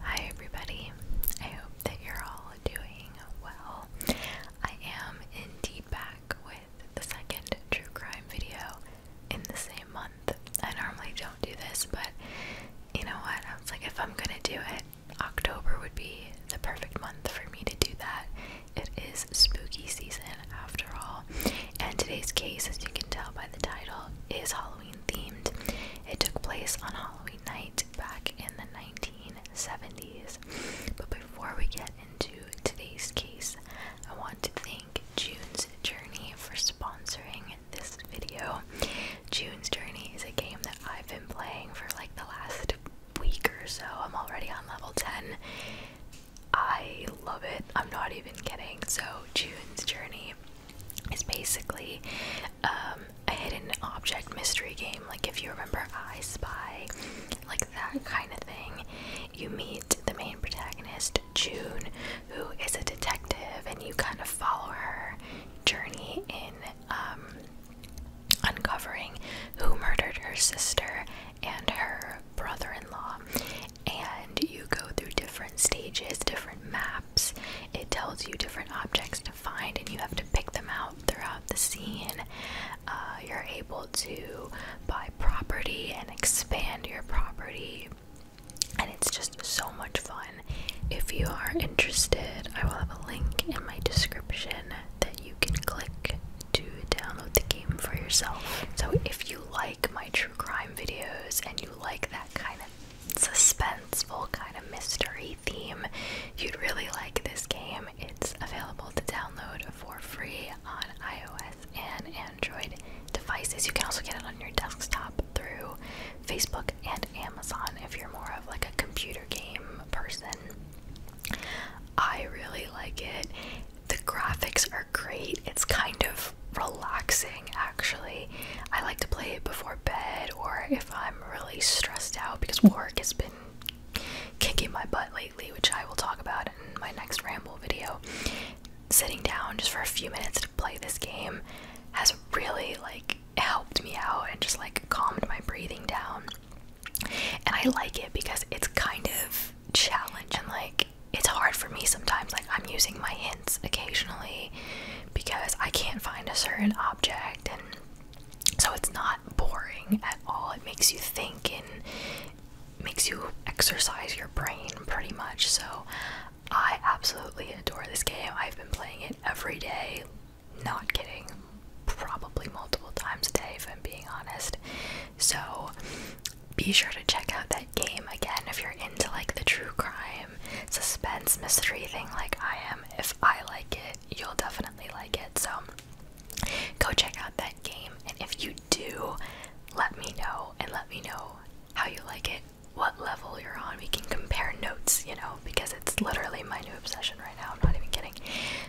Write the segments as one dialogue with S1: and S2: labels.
S1: Hi, everybody. I hope that you're all doing well. I am indeed back with the second true crime video in the same month. I normally don't do this, but you know what? I was like, if I'm gonna do it, October would be the perfect month for me to do that. It is spooky season after all. And today's case, as you can tell by the title, is Halloween themed. It took place on Halloween night back in the 1970s. But before we get into today's case, I want to thank June's Journey for sponsoring this video. June's Journey is a game that I've been playing for like the last week or so, I'm already on level 10. I love it. I'm not even kidding. So, June's Journey is basically um, a hidden object mystery game. Like, if you remember I Spy, like that kind of thing. You meet the main protagonist, June, who is a detective, and you kind of follow her journey in um, uncovering who murdered her sister and her brother in law. And you go through different stages, different maps. It tells you different objects to find, and you have to pick them out throughout the scene. Uh, you're able to buy property and expand your property. And it's just so much fun. If you are interested, I will have a link in my description that you can click to download the game for yourself. So if you like my true crime videos and you like that kind of suspenseful kind of mystery theme, you'd really like this game. It's available to download for free on iOS and Android devices. You can also get it on your desktop through Facebook and Amazon if you're more of like a computer game person I really like it. The graphics are great. It's kind of relaxing actually. I like to play it before bed or if I'm really stressed out because work has been kicking my butt lately, which I will talk about in my next ramble video. Sitting down just for a few minutes to play this game has really like helped me out and just like calmed my breathing down and I like it because it's kind of challenging. Like it's hard for me sometimes. Like I'm using my hints occasionally because I can't find a certain object, and so it's not boring at all. It makes you think and makes you exercise your brain pretty much. So I absolutely adore this game. I've been playing it every day not getting Probably multiple times a day, if I'm being honest. So be sure to check out that game again if you're into like the true crime, suspense, mystery thing like I am. If I like it, you'll definitely like it. So go check out that game. And if you do, let me know and let me know how you like it, what level you're on. We can compare notes, you know, because it's literally my new obsession right now, I'm not even kidding.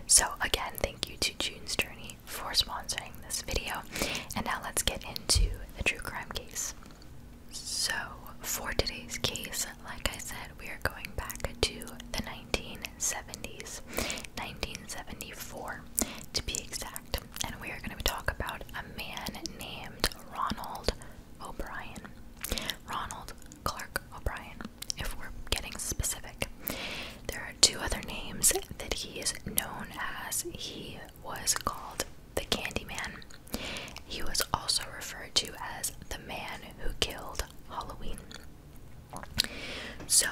S1: So, again, thank you to June's Journey for sponsoring this video. And now let's get into the true crime case. So, for today's case, like I said, we are going back to the 1970s, 1974 to be exact, and we are going to talk about a man named Ronald O'Brien. Ronald Clark O'Brien if we're getting specific. There are two other names that he is known as. He was called the Candy Man. He was also referred to as the man who killed Halloween. So,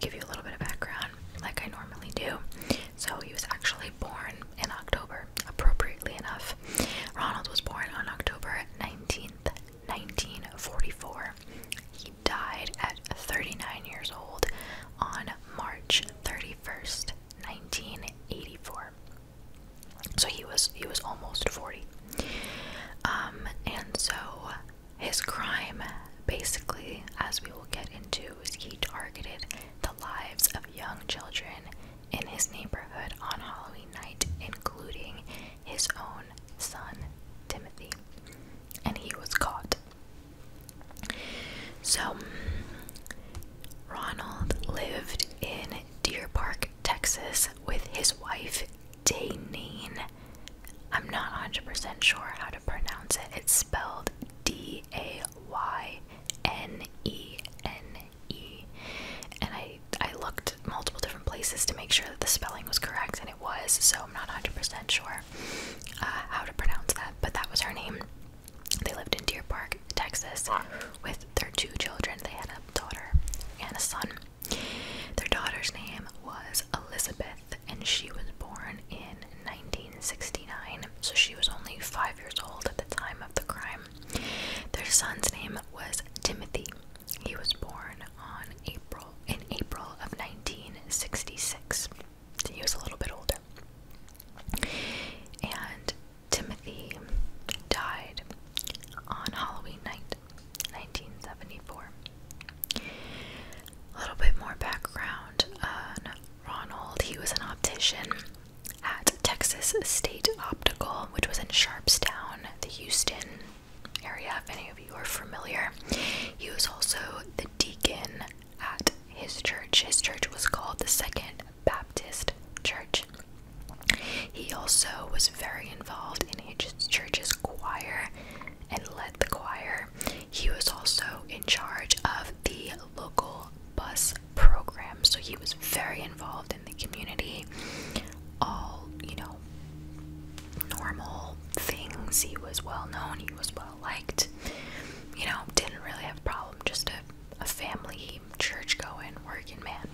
S1: give you a little bit of background, like I normally do. So, he was actually born in October, appropriately enough. Ronald was born on October 19th, 1944. He died at 39 years old on March 31st, 1984. So he was he was almost 40. Um, and so his crime basically, as we will get into, is he targeted the lives of young children in his neighborhood on Halloween night, including his own son Timothy, and he was caught. So, Ronald lived in Deer Park, Texas, with his wife Danine. I'm not 100 sure how to pronounce it. It's spelled D A Y N E N E. And I I looked multiple different places to make sure that the spelling was correct, and it was. So I'm not 100% sure uh, how to pronounce that, but that was her name. They lived in Deer Park, Texas, with their two children. They had a daughter and a son. Their daughter's name was Elizabeth, and she was born in 1969, so she was only five years old at the time of the crime. Their son's name was Timothy, he was born on April in April of 1966. he was a little bit older. And Timothy died on Halloween night, 1974. A little bit more background on Ronald. He was an optician at Texas State Optical, which was in Sharpstown, the Houston area, if any of you are familiar. He was also the deacon at his church. His church was called the Second Baptist Church. He also was very involved in his church's choir and led the choir. He was also in charge of the local bus program, so he was very involved in the community, all, you know, normal things. He was well known, he was well liked, you know, didn't really have a problem, just a, a family, church going, working man.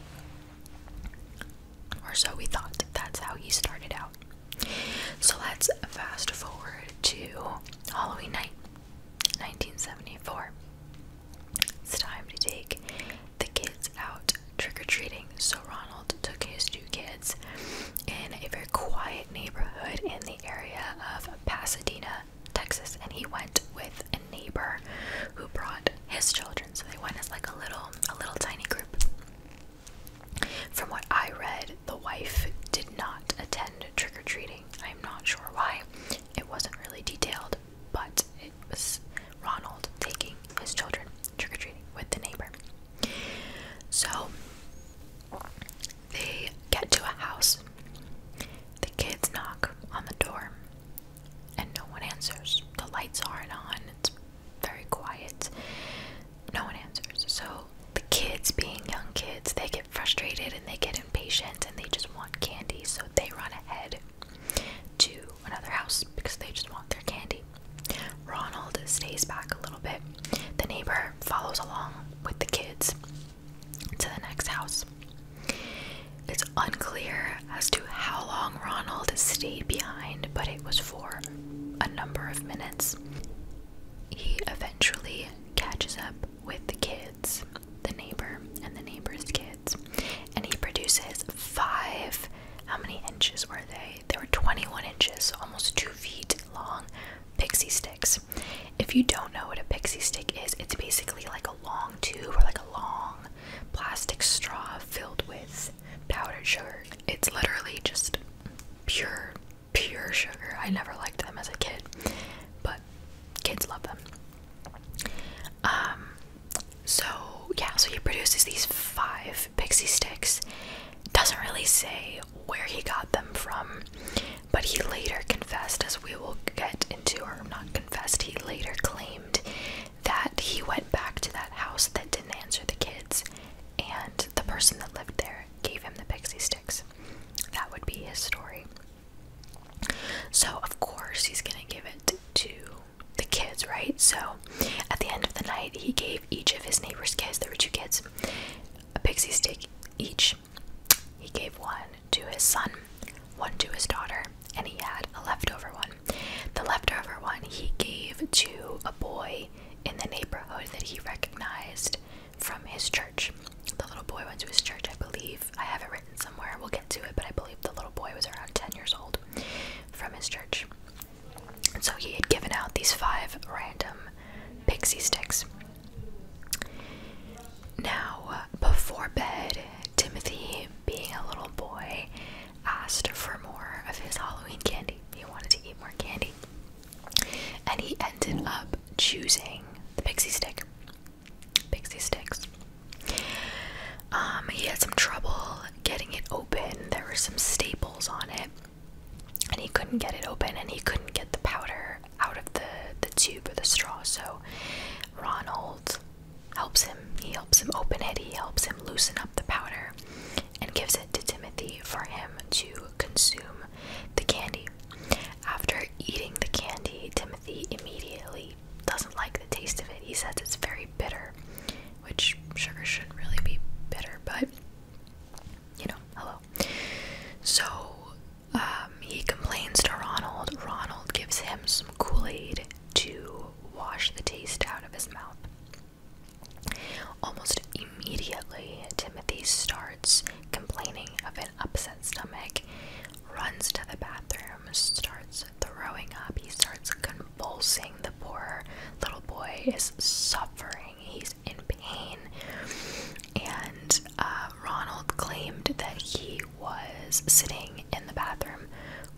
S1: Or so we thought that's how he started out. So let's fast forward to Halloween night, 1974. It's time to take the kids out trick or treating. So Ronald took his two kids in a very quiet neighborhood in the area of Pasadena, Texas, and he went with a neighbor who brought his children. So they went as like a little, a little tiny group. From what I read, the wife did not attend trick or treating. I'm not sure why. It wasn't really detailed, but it was Ronald taking his children trick or treating with the neighbor. So they get to a house. The kids knock on the door, and no one answers. The lights aren't on, it's very quiet. No one answers. So the kids, being young kids, they get frustrated and they get impatient and they just want candy, so they run ahead to another house because they just want their candy. Ronald stays back a little bit. The neighbor follows along with the kids to the next house. It's unclear as to how long Ronald stayed behind, but it was for a number of minutes. He eventually catches up with the kids, the neighbor, and the neighbor's kids and he produces five. How many inches were they? They were 21 inches, almost two feet long pixie sticks. If you don't know what a pixie stick is, it's basically like a long tube or like a long plastic straw filled with powdered sugar. It's literally just pure, pure sugar. I never liked them as a kid, but kids love them. Um, so yeah, so he produces these five pixie sticks. Doesn't really say where he got them from, but he later confessed, as we will get into, or not confessed, he later claimed that he went back to that house that didn't answer the kids, and the person that lived there gave him the pixie sticks. That would be his story. So, of course, he's gonna give it to the kids, right? So at the end of the night, he gave each of his neighbor's kids, there were two kids, a pixie stick each. He gave one to his son, one to his daughter, and he had a leftover one. The leftover one he gave to a boy in the neighborhood that he recognized from his church. The little boy went to his church, I believe. I have it written somewhere. We'll get. To it, but I believe the little boy was around 10 years old from his church. so he had given out these five random pixie sticks. Now, before bed, Timothy, being a little boy, asked for more of his Halloween candy. He wanted to eat more candy. And he ended up choosing the pixie stick. Pixie sticks. Um, he had some trouble getting it open. There were some staples on it, and he couldn't get it open, and he couldn't get the powder out of the the tube or the straw. So Ronald helps him. He helps him open it. He helps him loosen up the powder, and gives it to Timothy for him to consume the candy. After eating the candy, Timothy immediately doesn't like the taste of it. He says it's very bitter, which sugar shouldn't really be bitter, but you know, hello. So um, he complains to Ronald. Ronald gives him some Kool Aid to wash the taste out of his mouth. Almost immediately, Timothy starts complaining of an upset stomach, runs to the bathroom, starts throwing up. He starts convulsing. The poor little boy is suffering. He's in pain. And uh, Ronald claimed that he was sitting in the bathroom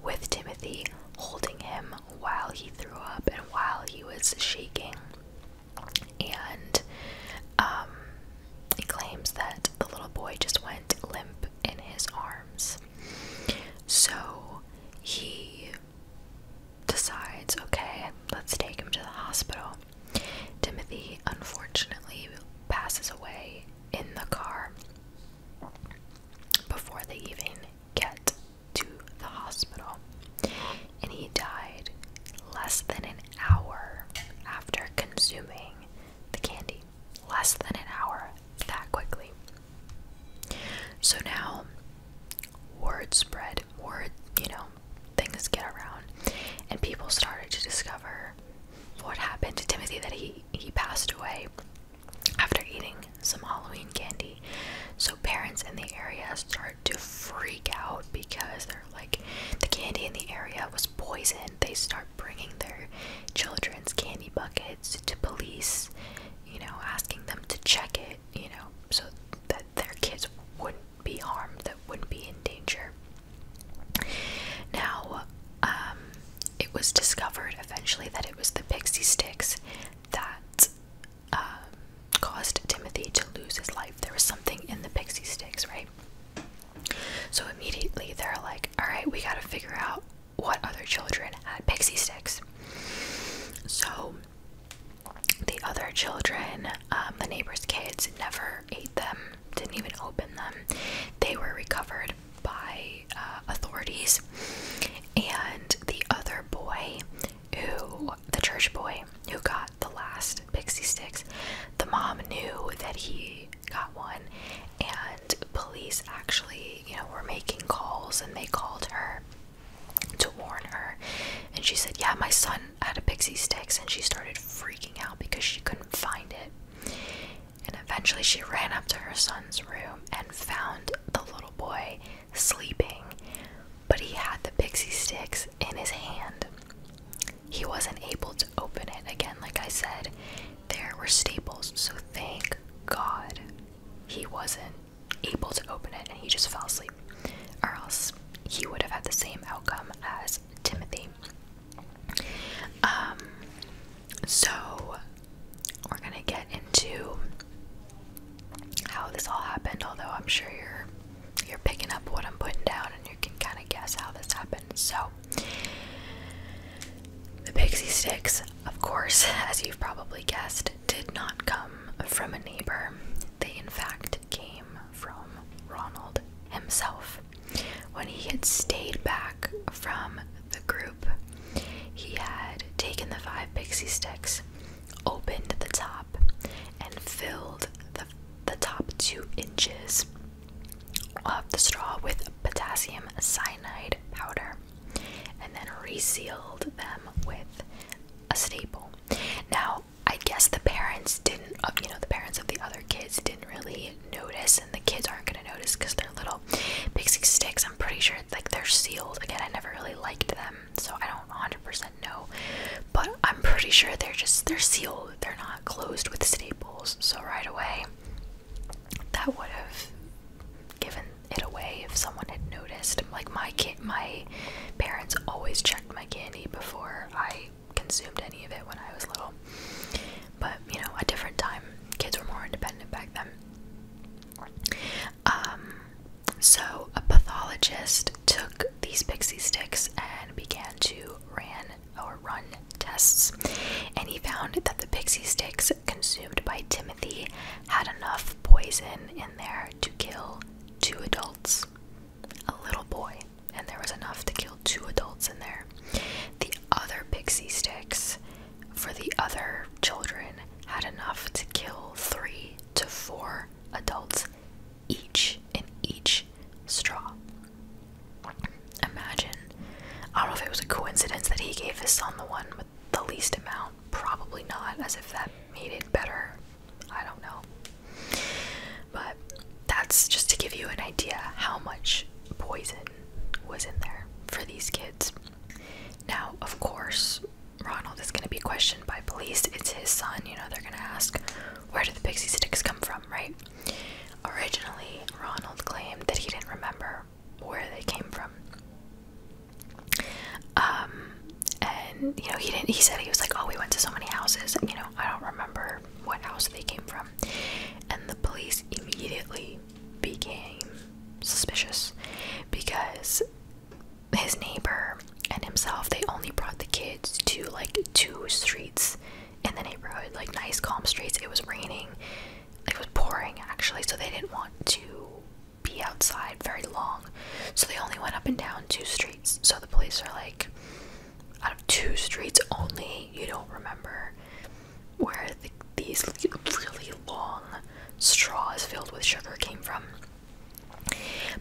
S1: with Timothy, holding him while he threw up and while he was shaking. And um, he claims that the little boy just went limp in his arms. So he decides, okay, let's take him to the hospital. Timothy unfortunately passes away in the car before they even get to the hospital. And he died less than an hour after consuming the candy. Less than an hour, that quickly. So now word spread, word, you know, things get around, and people started to discover what happened to Timothy that he he passed away after eating some Halloween candy. So parents in the area start to freak out because they're like the candy in the area was poisoned. They start bringing their children's candy buckets to police, you know, asking them to check it, you know, so that their kids wouldn't be harmed, that wouldn't be in danger. Now, um, it was discovered eventually that it was the pixie sticks that um, caused Timothy to lose his life. There was something in the pixie sticks, right? So immediately they're like, all right, we got to figure out what other children had pixie sticks. So the other children, um, the neighbors' kids, never ate them, didn't even open them. They were recovered by uh, authorities. And the other boy, who, the church boy, who got the last pixie sticks, the mom knew that he got one police actually, you know, were making calls and they called her to warn her. And she said, Yeah, my son had a pixie sticks and she started freaking out because she couldn't find it. And eventually she ran up to her son's room and found the little boy sleeping, but he had the pixie sticks in his hand. He wasn't able to open it again, like I said. There were staples, so thank God he wasn't able to open it and he just fell asleep, or else he would have had the same outcome as Timothy. Um, so we're gonna get into how this all happened, although I'm sure you're you're picking up what I'm putting down and you can kind of guess how this happened. So the pixie sticks, of course, as you've probably guessed, did not come from a neighbor. They, in fact, came from Ronald himself. When he had stayed back from the group, he had taken the five pixie sticks, opened the top, and filled the, top two inches of the straw with potassium cyanide powder and then resealed them with a staple. Now, I guess the parents didn't, uh, you know, the parents of the other kids didn't really notice, and the kids aren't gonna notice because they're little pixie sticks. I'm pretty sure like they're sealed. Again, I never really liked them, so I don't 100% know, but I'm pretty sure they're just they're sealed. They're not closed with staples. So right away, that would have given it away if someone had noticed. Like my kid, my parents always checked my candy before I consumed any of it when I was little. But you know, a different time. Kids were more independent back then. Um, so a pathologist took these pixie sticks and began to ran or run tests, and he found that the pixie sticks consumed by Timothy had enough poison in there to kill two adults, a little boy, and there was enough to kill two adults in there. The other pixie sticks for the other children had enough to kill three to four adults each in each straw. Imagine. I don't know if it was a coincidence that he gave his son the one with the least amount? Probably not, as if that made it better. I don't know. But that's just to give you an idea how much poison was in there for these kids. Now, of course, Ronald is going to be questioned by police. It's his son, you know, they're going to ask, where did the pixie sticks come from, right? Originally, Ronald claimed that he didn't remember where they came from. Um, and you know, he didn't. He said he was like, "Oh, we went to so many houses." And, you know, I don't remember what house they came from. And the police immediately became suspicious because his neighbor and himself they only brought the kids to like two streets in the neighborhood, like nice calm streets. It was raining it was pouring actually, so they didn't want to be outside very long. So they only went up and down two streets. So the police are like, out of two streets only, you don't remember where these really long straws filled with sugar came from.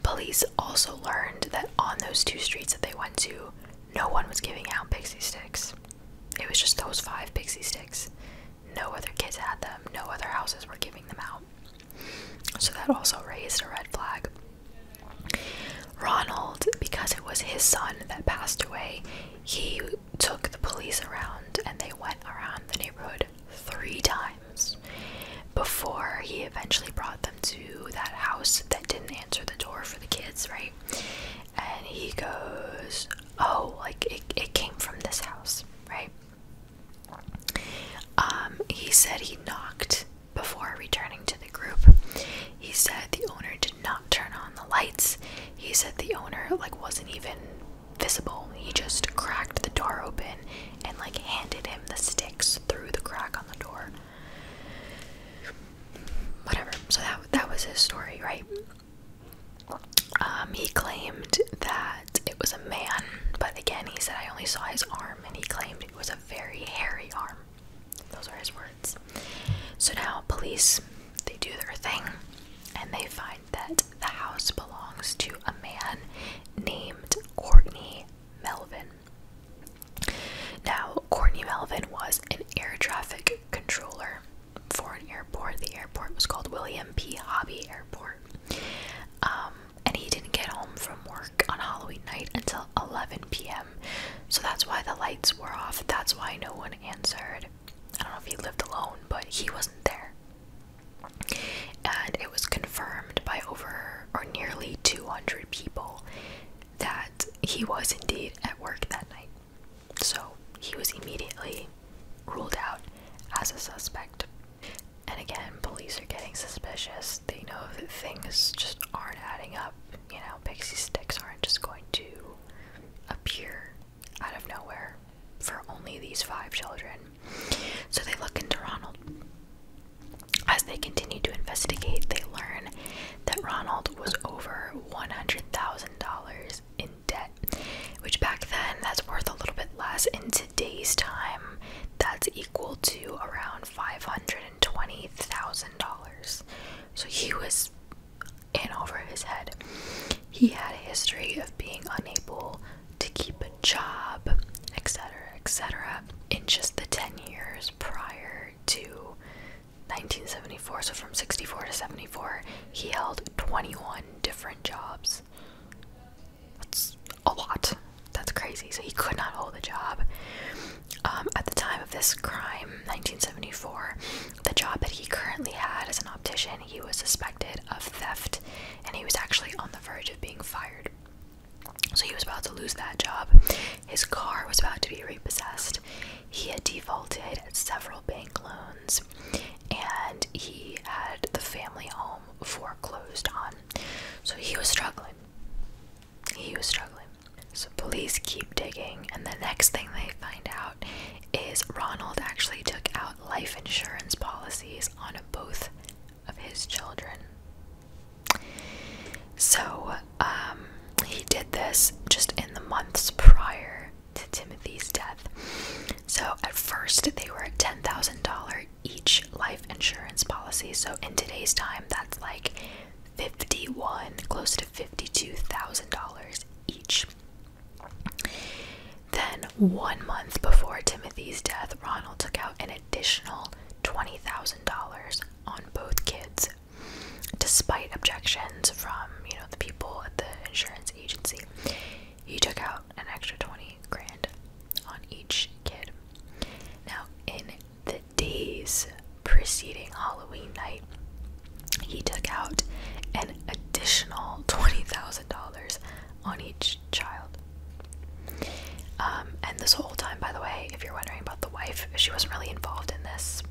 S1: Police also learned that on those two streets that they went to, no one was giving out pixie sticks. It was just those five pixie sticks no other kids had them, no other houses were giving them out. So that also raised a red flag. Ronald, because it was his son that passed away, he took the police around and they went around the neighborhood three times before he eventually brought them to that house that didn't answer the door for the kids, right? And he goes, oh, like it, it came from this house, right? Um, he said he knocked before returning to the group. He said the owner did not turn on the lights. He said the owner like wasn't even visible. He just cracked the door open and like handed him the sticks through the crack on the door. Whatever. So that that was his story, right? Um, he claimed that it was a man, but again, he said I only saw his arm, and he claimed it was a very hairy arm. Those are his words. So now, police they do their thing, and they find that the house belongs to a man named Courtney Melvin. Now, Courtney Melvin was an air traffic controller for an airport. The airport was called William P. Hobby Airport. Um, and he didn't get home from work on Halloween night until 11 p.m. So that's why the lights were off. That's why no one answered. I don't know if he lived alone, but he wasn't there. And it was confirmed by over or nearly 200 people that he was indeed at work that night. So he was immediately ruled out as a suspect. And again, police are getting suspicious. They know that things just aren't adding up. You know, pixie sticks aren't just going to appear out of nowhere for only these five children. So they look into Ronald. As they continue to investigate, they learn that Ronald was over $100,000 in debt, which back then that's worth a little bit less. In today's time, that's equal to around $520,000. So he was in over his head. He had a history of being unable to keep a job, etc., etc., in just the 10 years prior to 1974. So from 64 to 74, he held 21 different jobs. That's a lot. That's crazy. So he could not hold a job. Um, at the time of this crime, 1974, the job that he currently had as an optician, he was suspected of theft and he was actually on the verge of being fired. So he was about to lose that job. His car was about to be repossessed. He had defaulted several bank loans and he had the family home foreclosed on. So he was struggling. He was struggling. So police keep digging, and the next thing they find out is Ronald actually took out life insurance policies on both of his children. So um, he did this just in the months prior to Timothy's death. So at first they were a ten thousand dollar each life insurance policy. So in today's time that's like fifty one close to fifty two thousand dollars each. Then one month before Timothy's death, Ronald took out an additional twenty thousand dollars on both kids, despite objections from you know the people at the insurance agency. He took out an extra 20 grand on each kid. Now, in the days preceding Halloween night, he took out an additional $20,000 on each child. Um, and this whole time, by the way, if you're wondering about the wife, she wasn't really involved in this.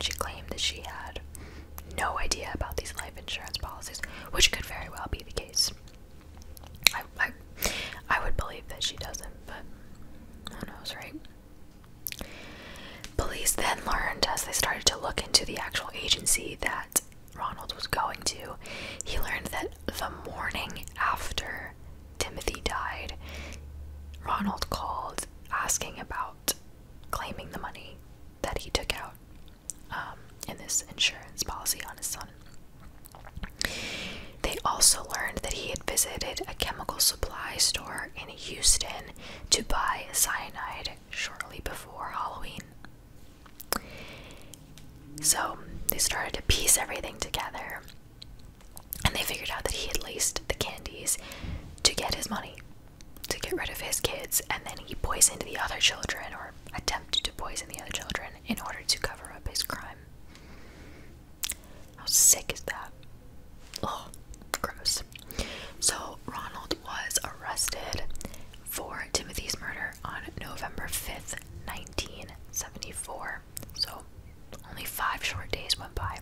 S1: She claimed that she had no idea about these life insurance policies, which could very well be the case. I, I, would believe that she doesn't, but who knows, right? Police then learned as they started to look into the actual agency that Ronald was going to, he learned that the morning after Timothy died, Ronald called asking about claiming the money that he took out um, in this insurance policy on his son. They also learned that he had visited a chemical supply store in Houston to buy cyanide shortly before Halloween. So they started to piece everything together and they figured out that he had laced the candies to get his money to get rid of his kids, and then he poisoned the other children or attempted to poison the other children in order to cover up his crime. How sick is that? Oh, gross. So, Ronald was arrested for Timothy's murder on November 5th, 1974. So, only five short days went by.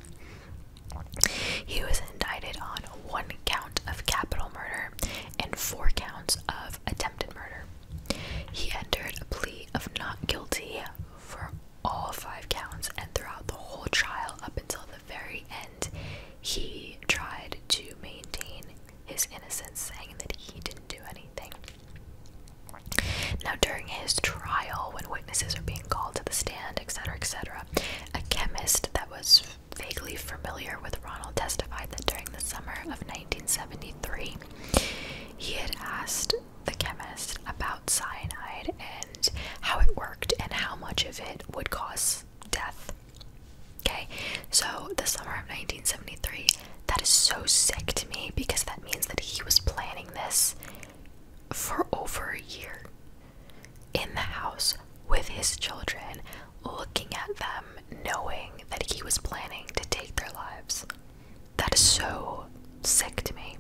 S1: He was indicted on one count of capital murder and four counts of attempted murder. He entered a plea of not guilty for all five counts, and throughout the whole trial, up until the very end, he tried to maintain his innocence, saying that he didn't do anything. Now, during his trial, when witnesses are being called to the stand, etc., etc., a chemist that was vaguely familiar with Ronald testified that during the summer of 1973, he had asked the chemist about cyanide and how it worked and how much of it would cause death. Okay, so the summer of 1973, that is so sick to me because that means that he was planning this for over a year in the house with his children, looking at them, knowing that he was planning to take their lives. That is so sick to me.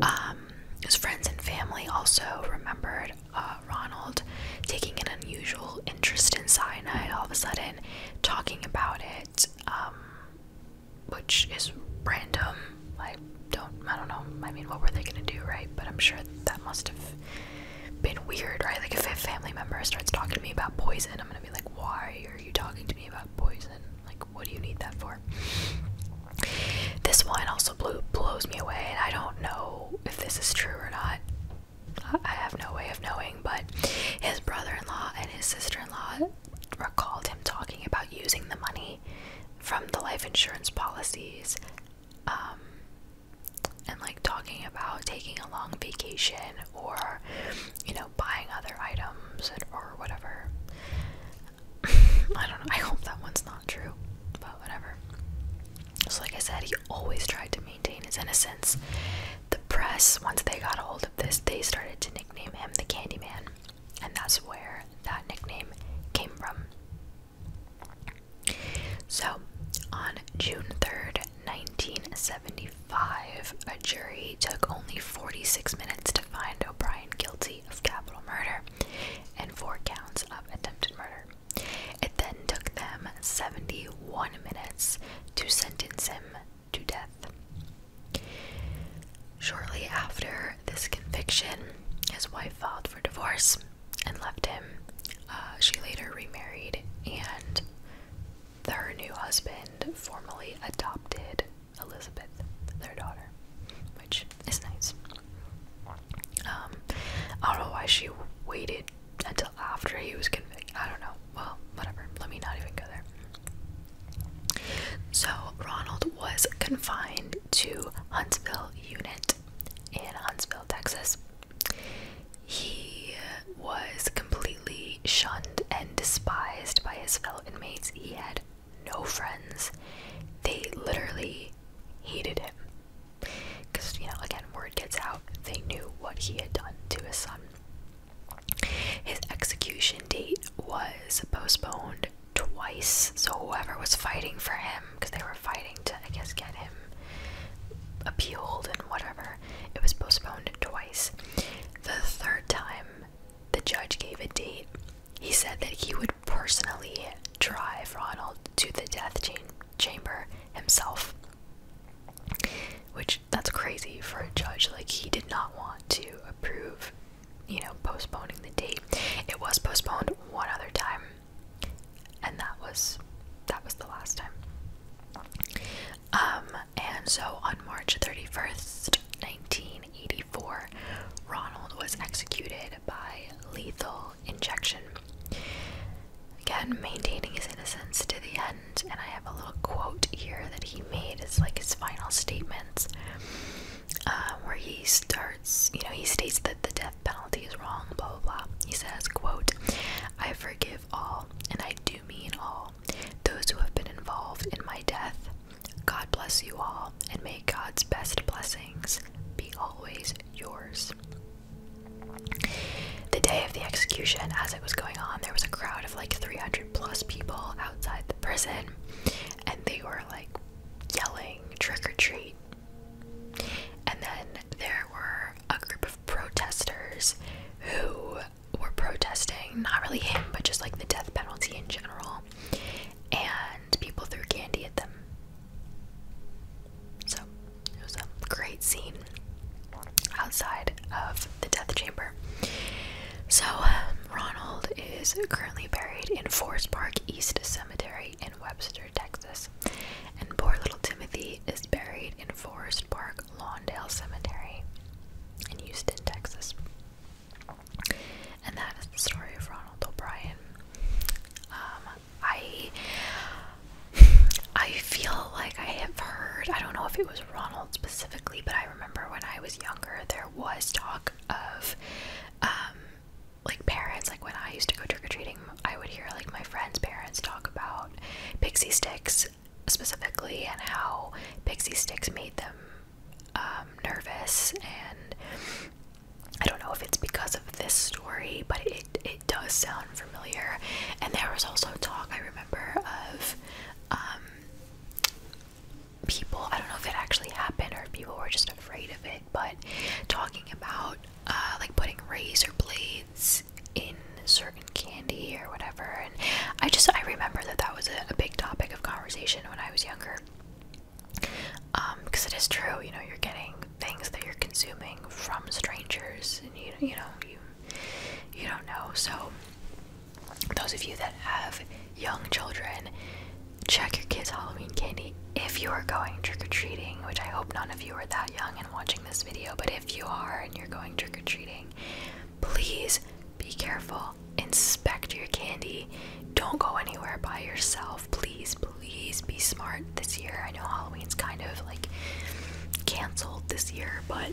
S1: Um, his friends and family also remembered uh, Ronald taking an unusual interest in Sinai all of a sudden, talking about it, um, which is random don't I don't know. I mean, what were they gonna do, right? But I'm sure that must have been weird, right? Like if a family member starts talking to me about poison, I'm gonna be like, why are you talking to me about poison? Like, what do you need that for? This one also blew, blows me away, and I don't know if this is true or not. I have no way of knowing, but his brother in law and his sister in law recalled him talking about using the money from the life insurance policies um, and like talking about taking a long vacation or you know buying other items and, or whatever. I don't know. I hope that one's not true, but whatever. So, like I said, he always tried to maintain his innocence. The press, once they got a hold of this, they started to nickname him the Candyman, and that's where that nickname came from. So, on June 3rd, 1975, a jury took only 46 minutes to find O'Brien guilty of capital murder and four counts of attempted murder. It then took them 71 minutes to sentence him to death. Shortly after this conviction, his wife filed for divorce, and left him. Uh, she later remarried, and her new husband formally adopted Elizabeth, their daughter, which is nice. Um, I don't know why she waited until after he was convicted. I don't know. Well, whatever. Let me not even go there. So, Ronald was confined to Huntsville Unit in Huntsville, Texas. He was completely shunned and despised by his fellow inmates. He had no friends. They literally hated him. Because, you know, again, word gets out. They knew what he had done to his son. His execution date was postponed twice, so whoever was fighting for him because they were fighting to, I guess, get him appealed and whatever. It was postponed twice. The third time, the judge gave a date. He said that he would personally drive Ronald to the death chamber himself. Which, that's crazy for a judge. Like, he did not want to approve, you know, postponing the date. It was postponed one other time, and that was that was the last time. Um, and so on March 31st, 1984, Ronald was executed by lethal injection. Again, maintaining his innocence to the end, and I have a little quote here that he made It's like his final statements, um, where he starts, you know, he states that the death penalty is wrong, blah blah blah. He says, quote, I forgive all, and I do mean all, those who have been involved in my death. God bless you all, and may God's best blessings be always yours. The day of the execution, as it was going on, there was a crowd of like 300 plus people outside the prison, and they were like yelling, trick or treat, and then there were a group of protesters who were protesting, not really him, but just like the death penalty in general. And people threw candy at them. So it was a great scene outside of the death chamber. So, um, Ronald is currently buried in Forest Park East Cemetery in Webster. Texas, and poor little Timothy is buried in Forest Park Lawndale Cemetery in Houston, Texas. And that is the story of Ronald O'Brien. Um, I I feel like I have heard. I don't know if it was Ronald specifically, but I remember when I was younger, there was talk of um, like parents like when i used to go trick-or-treating i would hear like my friends parents talk about pixie sticks specifically and how pixie sticks made them um, nervous and i don't know if it's because of this story but it, it does sound familiar and there was also talk i remember of um, people i don't know if it actually happened or if people were just afraid of it but talking about uh, like putting razor blades in certain candy or whatever. And I just I remember that that was a, a big topic of conversation when I was younger. Um, because it is true, you know, you're getting things that you're consuming from strangers, and you you know you you don't know. So those of you that have young children, check your kids' Halloween candy if you are going trick or treating, which I hope none of you are that young and watching this video, but if you are and you're going trick or treating, please be careful. Inspect your candy. Don't go anywhere by yourself. Please, please be smart this year. I know Halloween's kind of like canceled this year, but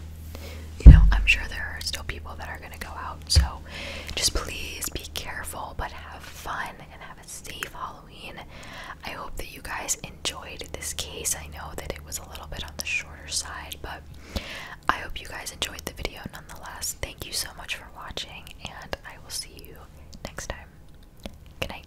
S1: you know, I'm sure there are still people that are going to go out. So just please be careful, but have fun and have a safe Halloween. I hope that you guys enjoyed this case. I know that it was a little bit on the shorter side, but I hope you guys enjoyed the video nonetheless. Thank you so much for watching, and I will see you next time. Good night.